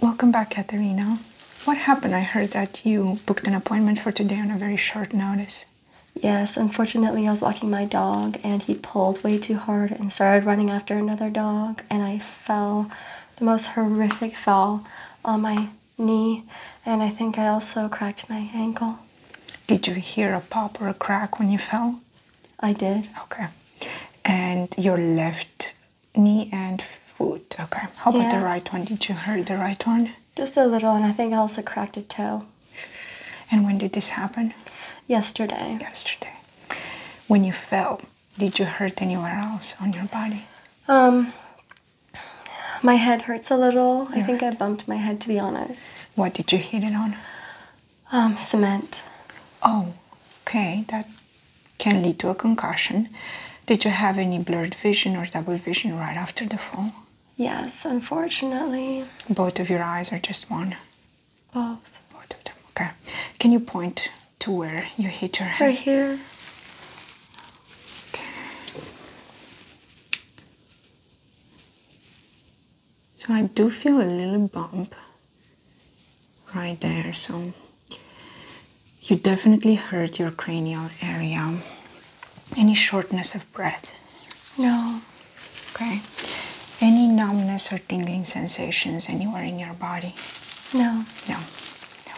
Welcome back, Katerina. What happened? I heard that you booked an appointment for today on a very short notice. Yes, unfortunately, I was walking my dog and he pulled way too hard and started running after another dog, and I fell the most horrific fall on my knee, and I think I also cracked my ankle. Did you hear a pop or a crack when you fell? I did. Okay. And your left knee and foot. Okay. How about the right one? Did you hurt the right one? Just a little, and I think I also cracked a toe. And when did this happen? Yesterday. Yesterday. When you fell, did you hurt anywhere else on your body? Um, my head hurts a little. I think I bumped my head, to be honest. What did you hit it on? Um, cement. Oh, okay. That can lead to a concussion. Did you have any blurred vision or double vision right after the fall? Yes, unfortunately. Both of your eyes or just one? Both. Both of them, okay. Can you point to where you hit your head? Right here. Okay. So I do feel a little bump right there so you definitely hurt your cranial area any shortness of breath no okay any numbness or tingling sensations anywhere in your body no no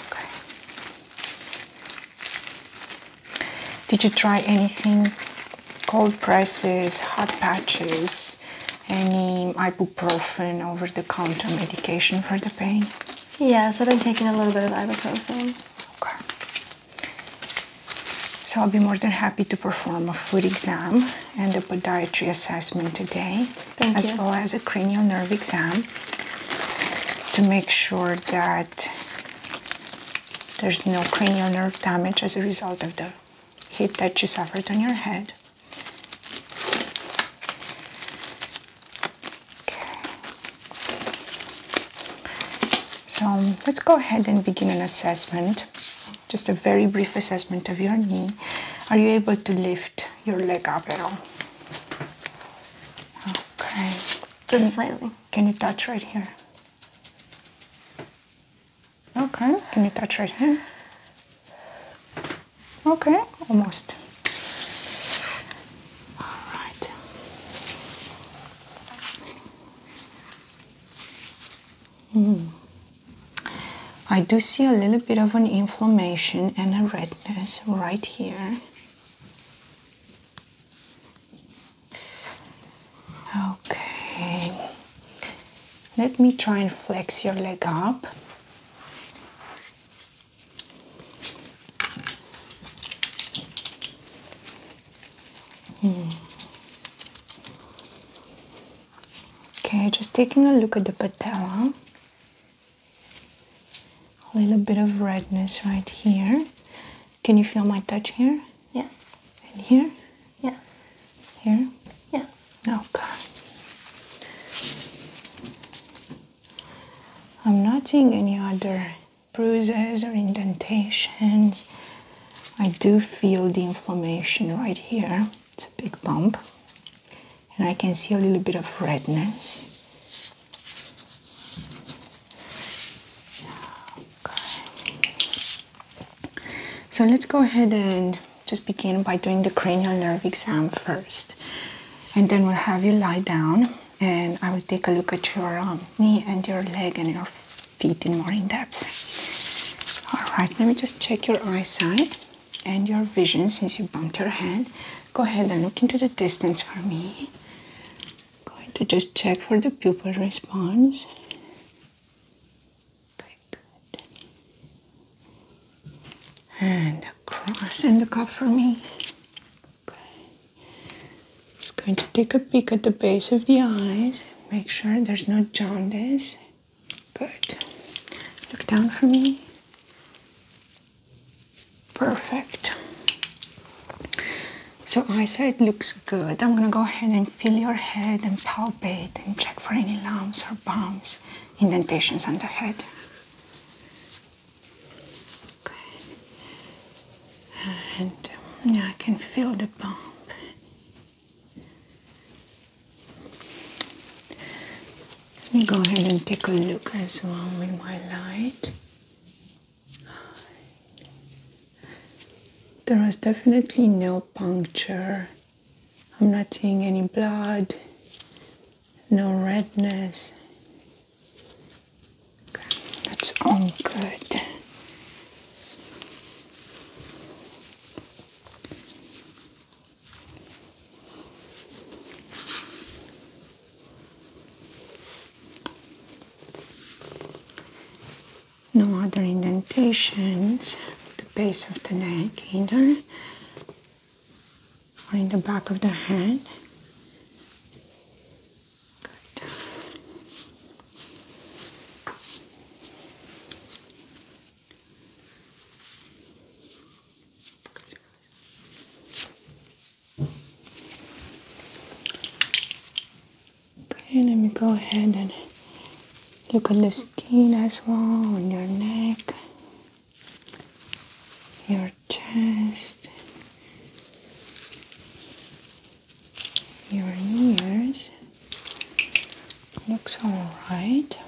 okay did you try anything cold presses hot patches any ibuprofen ibuprofen over the counter medication for the pain? Yes, I've been taking a little bit of ibuprofen. Okay. So I'll be more than happy to perform a foot exam and a podiatry assessment today, as well as a cranial nerve exam to make sure that there's no cranial nerve damage as a result of the hit that you suffered on your head. Okay. So let's go ahead and begin an assessment. Just a very brief assessment of your knee. Are you able to lift your leg up at all? Okay. Just slightly. Can you touch right here? Okay. Can you touch right here? Okay, almost. All right. Mm. I do see a little bit of an inflammation and a redness right here. Okay. Let me try and flex your leg up. Mm. Okay, just taking a look at the patella. A little bit of redness right here. Can you feel my touch here? Yes. And here? Yes. Here? Yeah. Okay. I'm not seeing any other bruises or indentations. I do feel the inflammation right here. It's a big bump, and I can see a little bit of redness. So let's go ahead and just begin by doing the cranial nerve exam first and then we'll have you lie down and I will take a look at your um, knee and your leg and your feet in more in depth. All right, let me just check your eyesight and your vision since you bumped your head. Go ahead and look into the distance for me. going to just check for the pupil response. Very good and cross and the cup for me. Okay. Just going to take a peek at the base of the eyes. Make sure there's no jaundice. Good. Look down for me. Perfect. So I say it looks good. I'm gonna go ahead and feel your head and palpate and check for any lumps or bumps, indentations on the head. Okay. And um, yeah, I can feel the bump. Let me go ahead and take a look as well with my light. There was definitely no puncture. I'm not seeing any blood no redness. that's all good. No other indentations the base of the neck either or in the back of the hand. Good. Okay, let me go ahead and look at the skin as well on your neck your chest, your ears. Looks alright.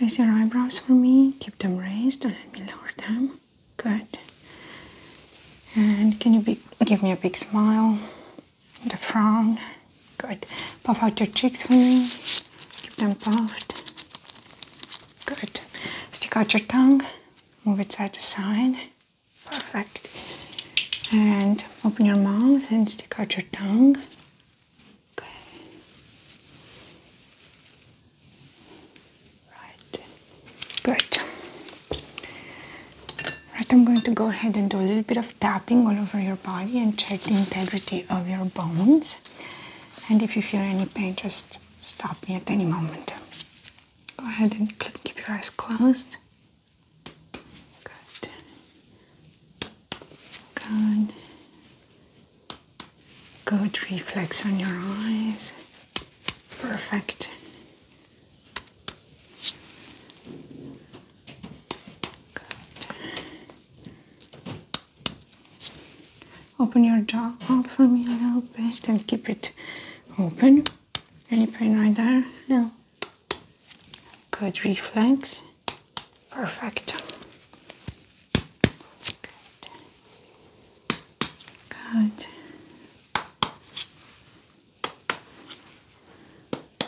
Raise your eyebrows for me, keep them raised, Don't let me lower them. Good. And can you give me a big smile and a frown? Good. Puff out your cheeks for me. Keep them puffed. Good. Stick out your tongue. Move it side to side. Perfect. And open your mouth and stick out your tongue. Okay. Right. Good. Right, I'm going to go ahead and do a little bit of tapping all over your body and check the integrity of your bones and if you feel any pain just stop me at any moment go ahead and keep your eyes closed good good good reflex on your eyes perfect Good. Open your jaw out for me a little bit and keep it open. Any pain right there? No. Good reflex. Perfect. Good. Good.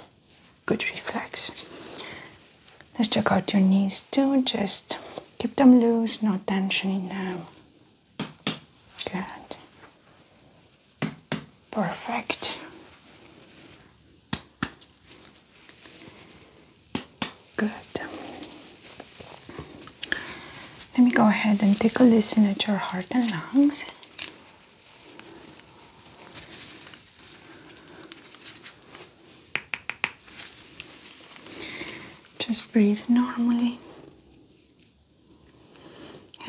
Good reflex. Let's check out your knees too. Just keep them loose, no tension in them. Good. Perfect. Good. Let me go ahead and take a listen at your heart and lungs. Just breathe normally.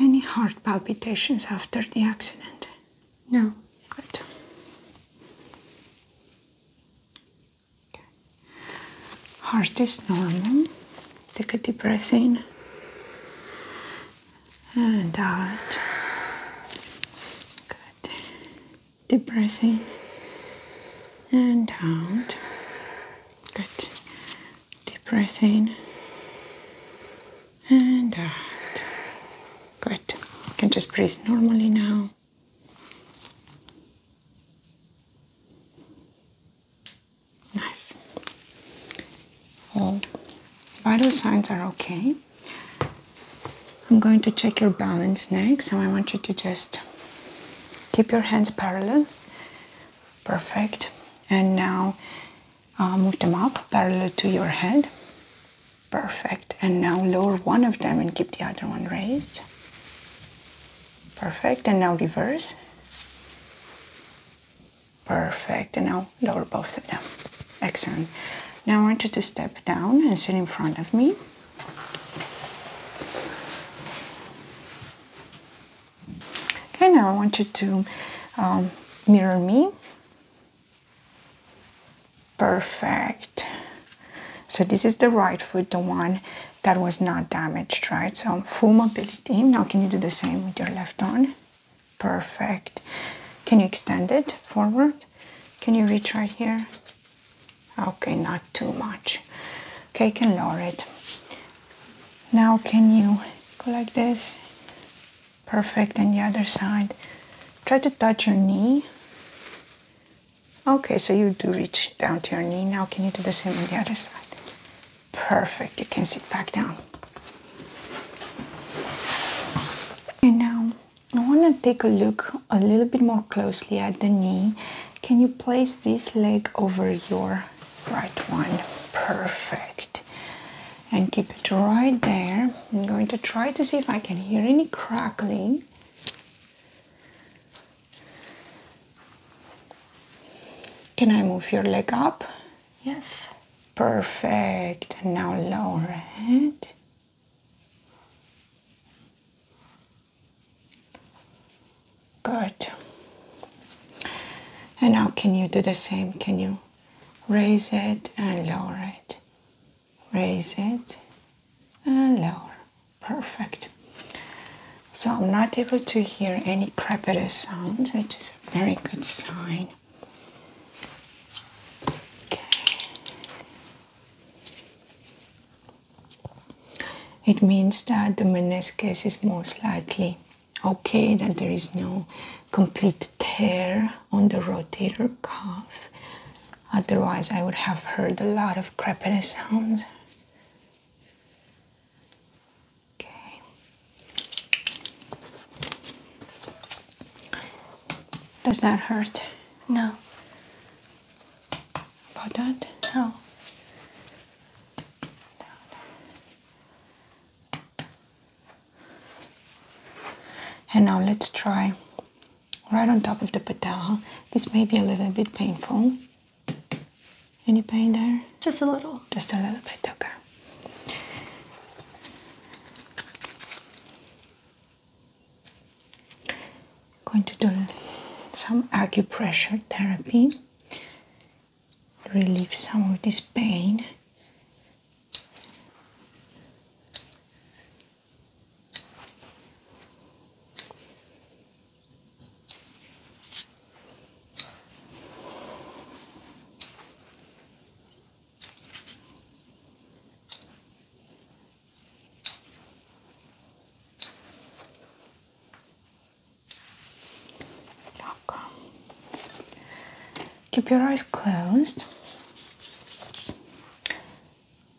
Any heart palpitations after the accident? No. Good. Heart is normal. Take a deep breath in and out. Good deep breathing and out. Good. Deep breath in and out. Good. You can just breathe normally now. Nice. All vital signs are okay. I'm going to check your balance next, so I want you to just keep your hands parallel. Perfect. And now uh, move them up parallel to your head. Perfect. And now lower one of them and keep the other one raised. Perfect. And now reverse. Perfect. And now lower both of them. Excellent. Now I want you to step down and sit in front of me. Okay, now I want you to um, mirror me. Perfect. So this is the right foot, the one that was not damaged, right? So full mobility. Now can you do the same with your left arm? Perfect. Can you extend it forward? Can you reach right here? Okay, not too much. Okay, can lower it. Now, can you go like this? Perfect, and the other side. Try to touch your knee. Okay, so you do reach down to your knee. Now, can you do the same on the other side? Perfect, you can sit back down. And now, I want to take a look a little bit more closely at the knee. Can you place this leg over your right one? Perfect. And keep it right there. I'm going to try to see if I can hear any crackling. Can I move your leg up? Yes. Perfect. Now lower it. Good. And now can you do the same? Can you raise it and lower it? Raise it and lower. Perfect. So I'm not able to hear any crepitous sound, which is a very good sign. It means that the meniscus is most likely okay, that there is no complete tear on the rotator cuff. Otherwise, I would have heard a lot of crepitus sounds. Okay. Does that hurt? No about that now. And now let's try right on top of the petal. This may be a little bit painful. Any pain there? Just a little. Just a little bit, okay. I'm going to do some acupressure therapy relieve some of this pain Okay. Keep your eyes closed.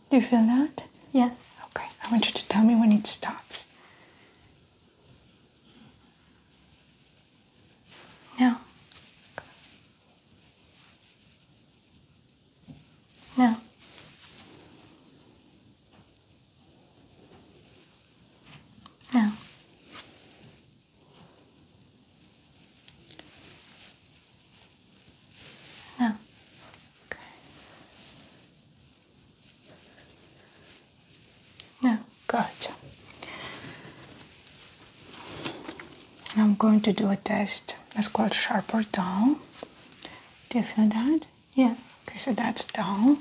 Do you feel that? Yeah. Okay. I want you to tell me when it stops. Now. No. No. No. okay, now, gotcha. And I'm going to do a test that's called sharp or dull. Do you feel that? Yeah. Okay, so that's dull.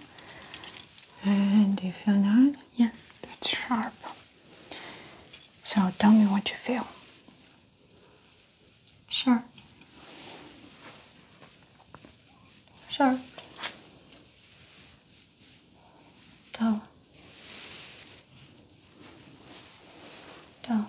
And do you feel that? Yeah. That's sharp. So tell me what you feel. Sure. Sure. Dull. Dull.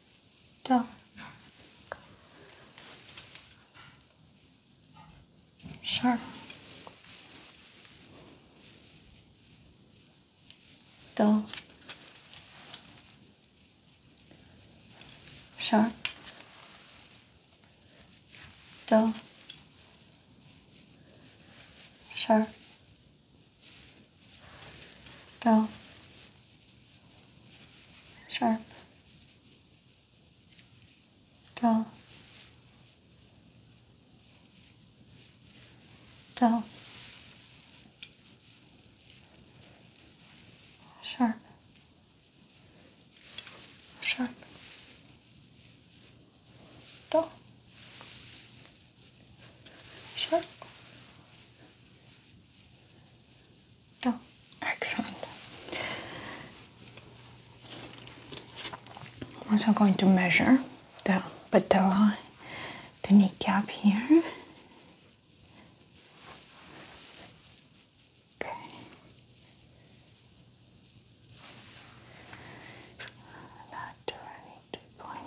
down sharp down sharp down sharp down sharp, dull, dull, sharp, sharp, dull, sharp, Oh, excellent. I'm also going to measure the patella, the kneecap here. Okay. That twenty-two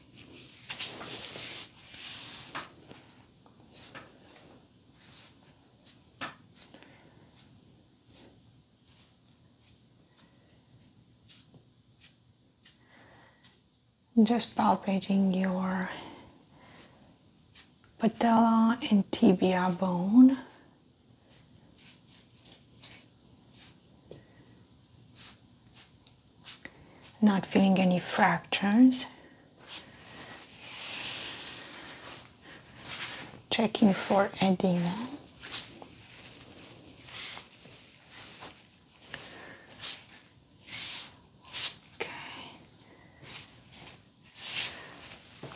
Just palpating your patella and tibia bone. Not feeling any fractures. Checking for edema. Okay.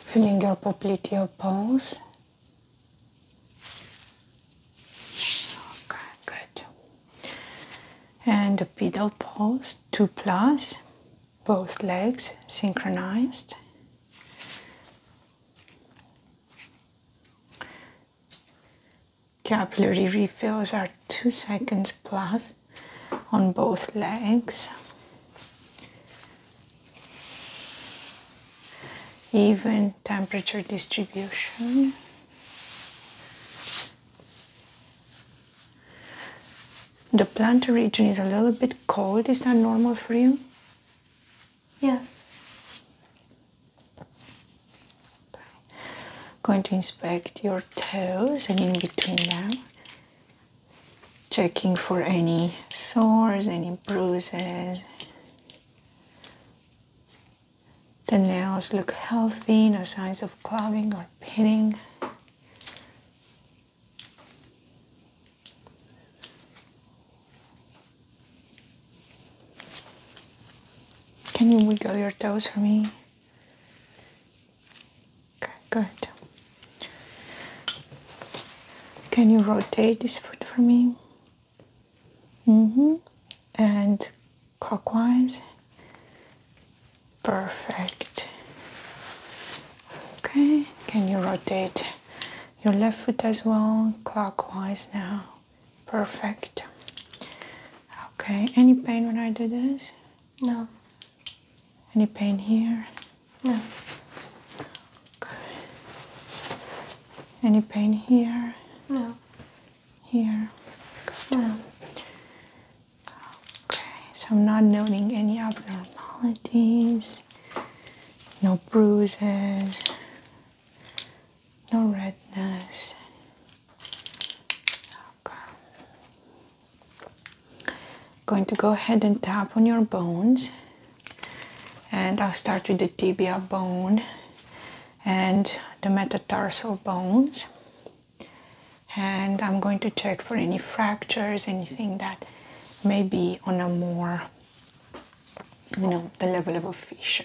Feeling your popliteal pulse. Okay, good and a pedal pose, two plus, both legs synchronized. Capillary refills are two seconds plus on both legs. Even temperature distribution. The plantar region is a little bit cold. Is that normal for you? Yes. Going to inspect your toes and in between them, checking for any sores, any bruises. The nails look healthy, no signs of clubbing or pinning. Can you wiggle your toes for me? Okay, good. Can you rotate this foot for me? Mm-hmm. And clockwise. Perfect. Okay, can you rotate your left foot as well clockwise now? Perfect. Okay, any pain when I do this? No. Any pain here? No. Okay. Any pain here? No. Here? No. Okay, so I'm not noting any abnormalities, no bruises, no redness. Okay. Going to go ahead and tap on your bones, and I'll start with the tibia bone and the metatarsal bones and I'm going to check for any fractures, anything that may be on a more, you know, the level of a fissure.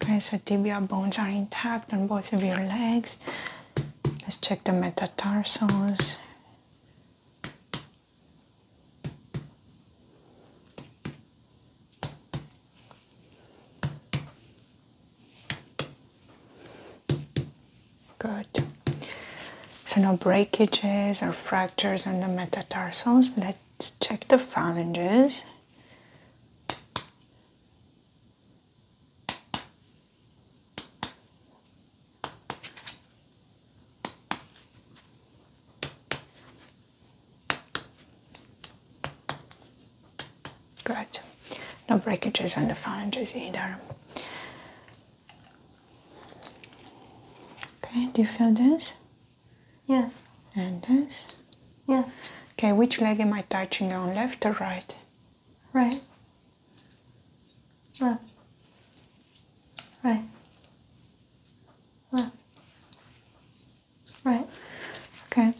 Okay, so tibia bones are intact on both of your legs. Let's check the metatarsals. Good. So no breakages or fractures on the metatarsals. Let's check the phalanges. Good. No breakages on the phalanges either. Okay, do you feel this? Yes. And this? Yes. Okay, which leg am I touching on, left or right? Right. Left. Right. Left. Right. Okay.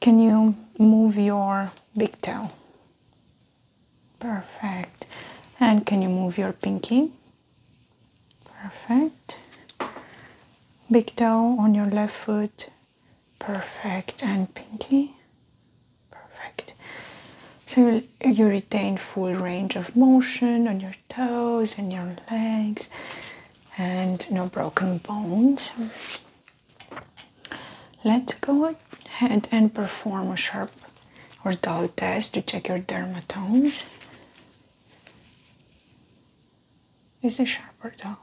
Can you move your big toe? Perfect. And can you move your pinky? Perfect. Big toe on your left foot Perfect. And pinky. Perfect. So you retain full range of motion on your toes and your legs and no broken bones. Let's go ahead and perform a sharp or dull test to check your dermatomes. Is it sharp or dull?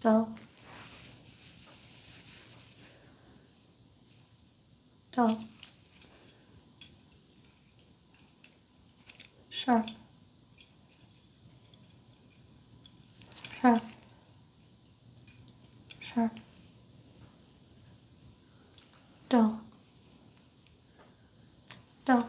Dull. Dull. Sharp. Sharp. Sharp. Dull. Dull.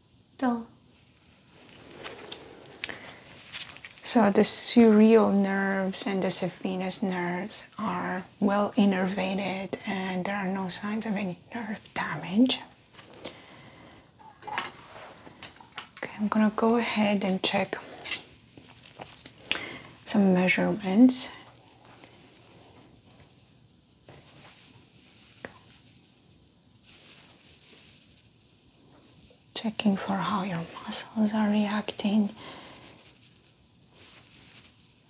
So the surreal nerves and the saphenous nerves are well innervated and there are no signs of any nerve damage. Okay, I'm gonna go ahead and check some measurements Checking for how your muscles are reacting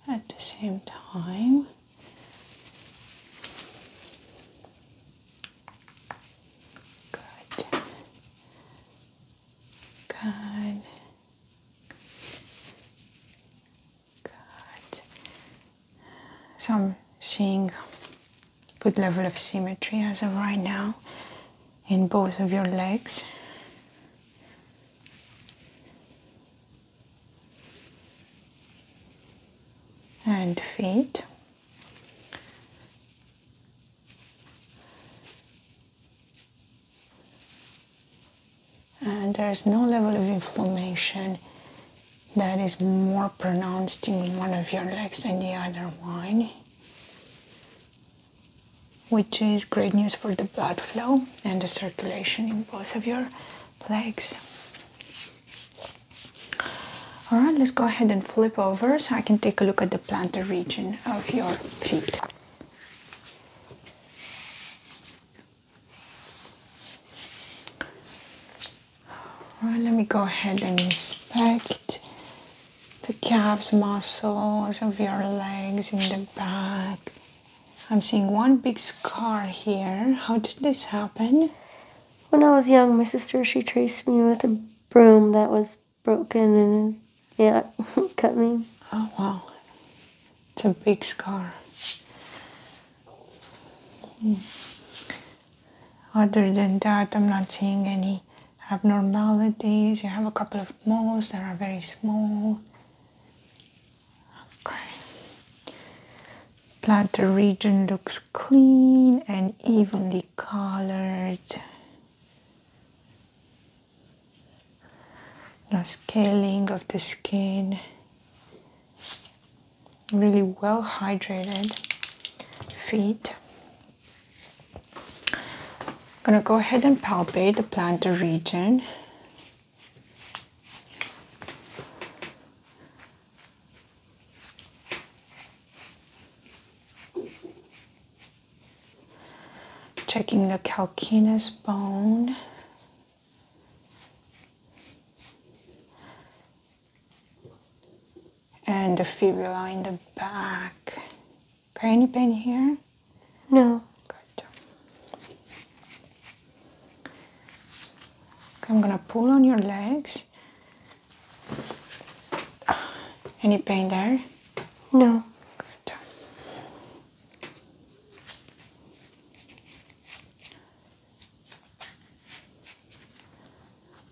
at the same time. Good. Good. Good. So I'm seeing good level of symmetry as of right now in both of your legs. and feet. And there's no level of inflammation that is more pronounced in one of your legs than the other one, which is great news for the blood flow and the circulation in both of your legs. All right, let's go ahead and flip over so I can take a look at the plantar region of your feet let me go ahead and inspect the calves muscles of your legs and the back. I'm seeing one big scar here. How did this happen? When I was young, my sister she traced me with a broom that was broken and yeah, cut me. Oh wow. It's a big scar. Hmm. Other than that, I'm not seeing any abnormalities. You have a couple of moles that are very small. Okay. Platter region looks clean and evenly colored. No scaling of the skin really well hydrated feet. I'm gonna go ahead and palpate the plantar region. Checking the calcaneus bone and the fibula in the back. any pain here? No. I'm gonna pull on your legs. Any pain there? No.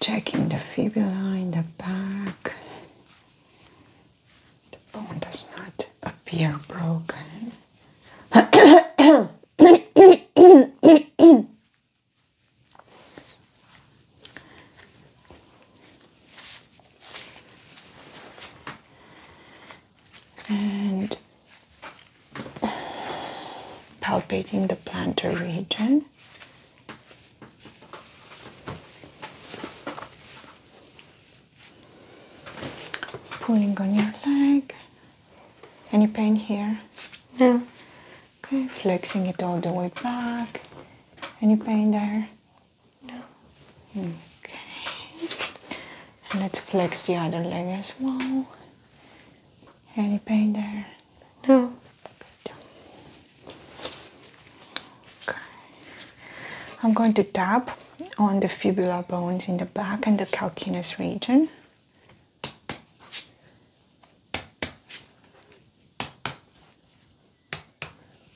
Checking the fibula in the back. The bone does not appear broken and palpating the plantar region. Pulling on your leg. Any pain here? No. Okay, flexing it all the way back. Any pain there? No. Okay. let's flex the other leg as well. Any pain there? No. Good. Okay. I'm going to tap on the fibula bones in the back and the calcaneus region.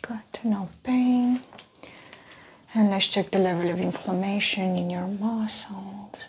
Good, no pain. And let's check the level of inflammation in your muscles.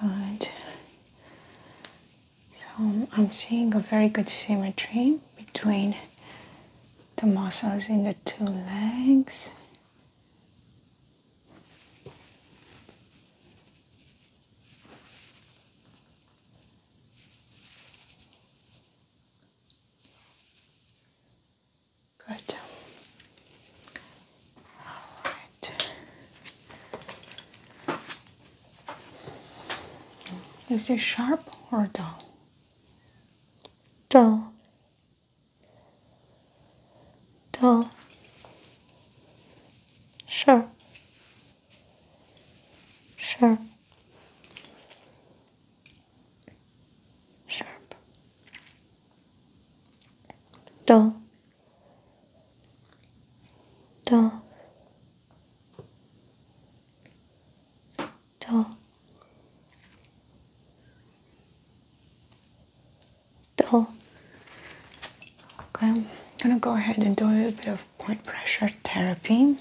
Good. So I'm seeing a very good symmetry between the muscles in the two legs Good. All right. Is it sharp or dull? Dull dull, sharp, sharp, sharp, dull, dull, dull dull. Okay, I'm gonna go ahead and do a little bit of point pressure therapy.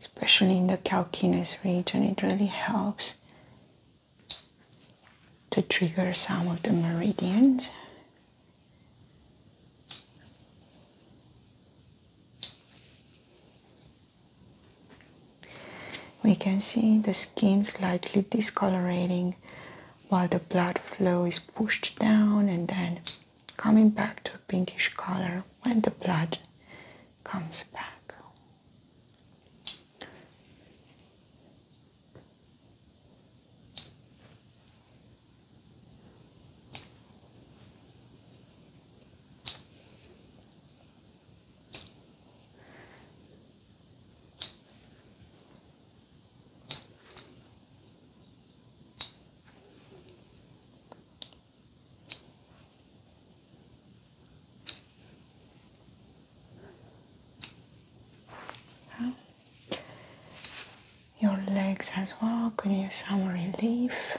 Especially in the calcaneus region, it really helps to trigger some of the meridians. We can see the skin slightly discolorating while the blood flow is pushed down and then coming back to a pinkish color when the blood comes back. Your legs as well, could use some relief.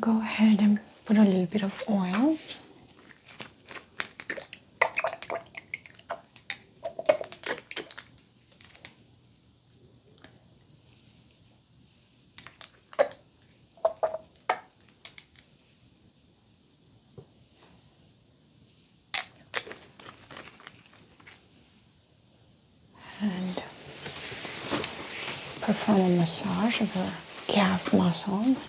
Go ahead and put a little bit of oil. and perform a massage of her calf muscles.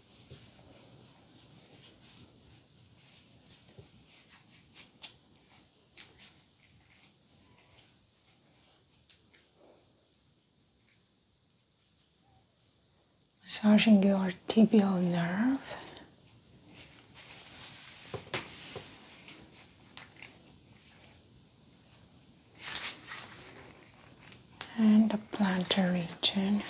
massaging your tibial nerve and the plantar region.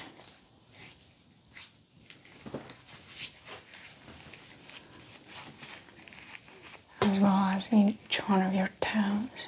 As well as each one of your toes.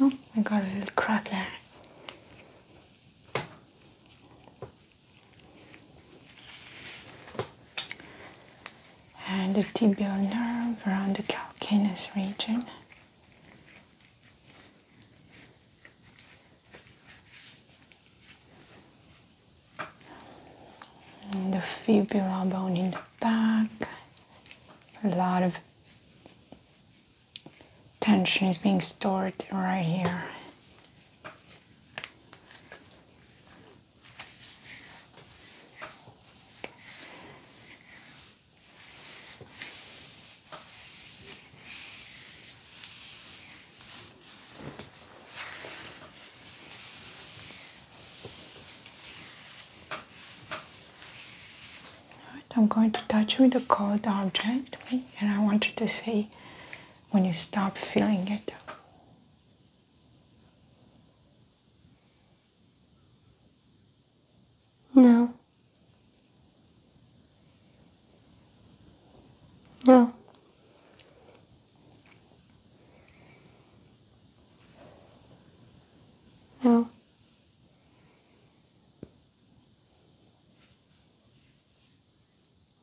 Oh, I got a little crack there. And the tibial nerve around the calcaneus region the fibula bone in the back. A lot of tension is being stored right here. I'm going to touch with a cold object and I want you to say when you stop feeling it. No. No. No.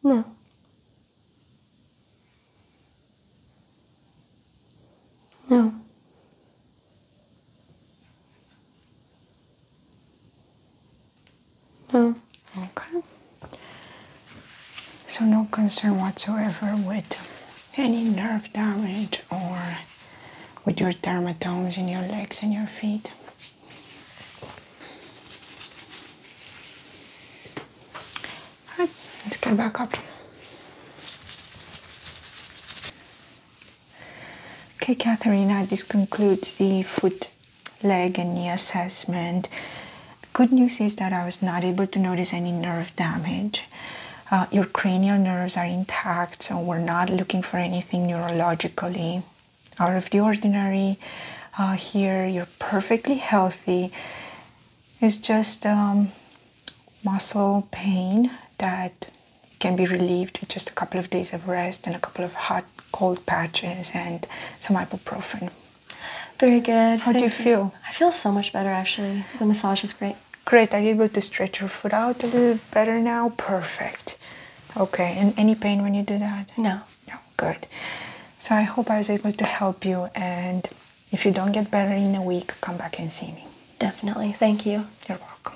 No. No. No. Okay. So no concern whatsoever with any nerve damage or with your dermatomes in your legs and your feet. right, let's get back up. Okay, Katharina, this concludes the foot, leg, and knee assessment. good news is that I was not able to notice any nerve damage. Uh, your cranial nerves are intact, so we're not looking for anything neurologically out of the ordinary. Uh, here, you're perfectly healthy. It's just um, muscle pain that can be relieved with just a couple of days of rest and a couple of hot cold patches and some ibuprofen. Very good. How do you, feel? I feel so much better actually. The massage was great. Great. Are you able to stretch your foot out a little better now? Perfect. Okay. And any pain when you do that? No. No. Good. So I hope I was able to help you and if you don't get better in a week, come back and see me. Definitely. Thank you. You're welcome.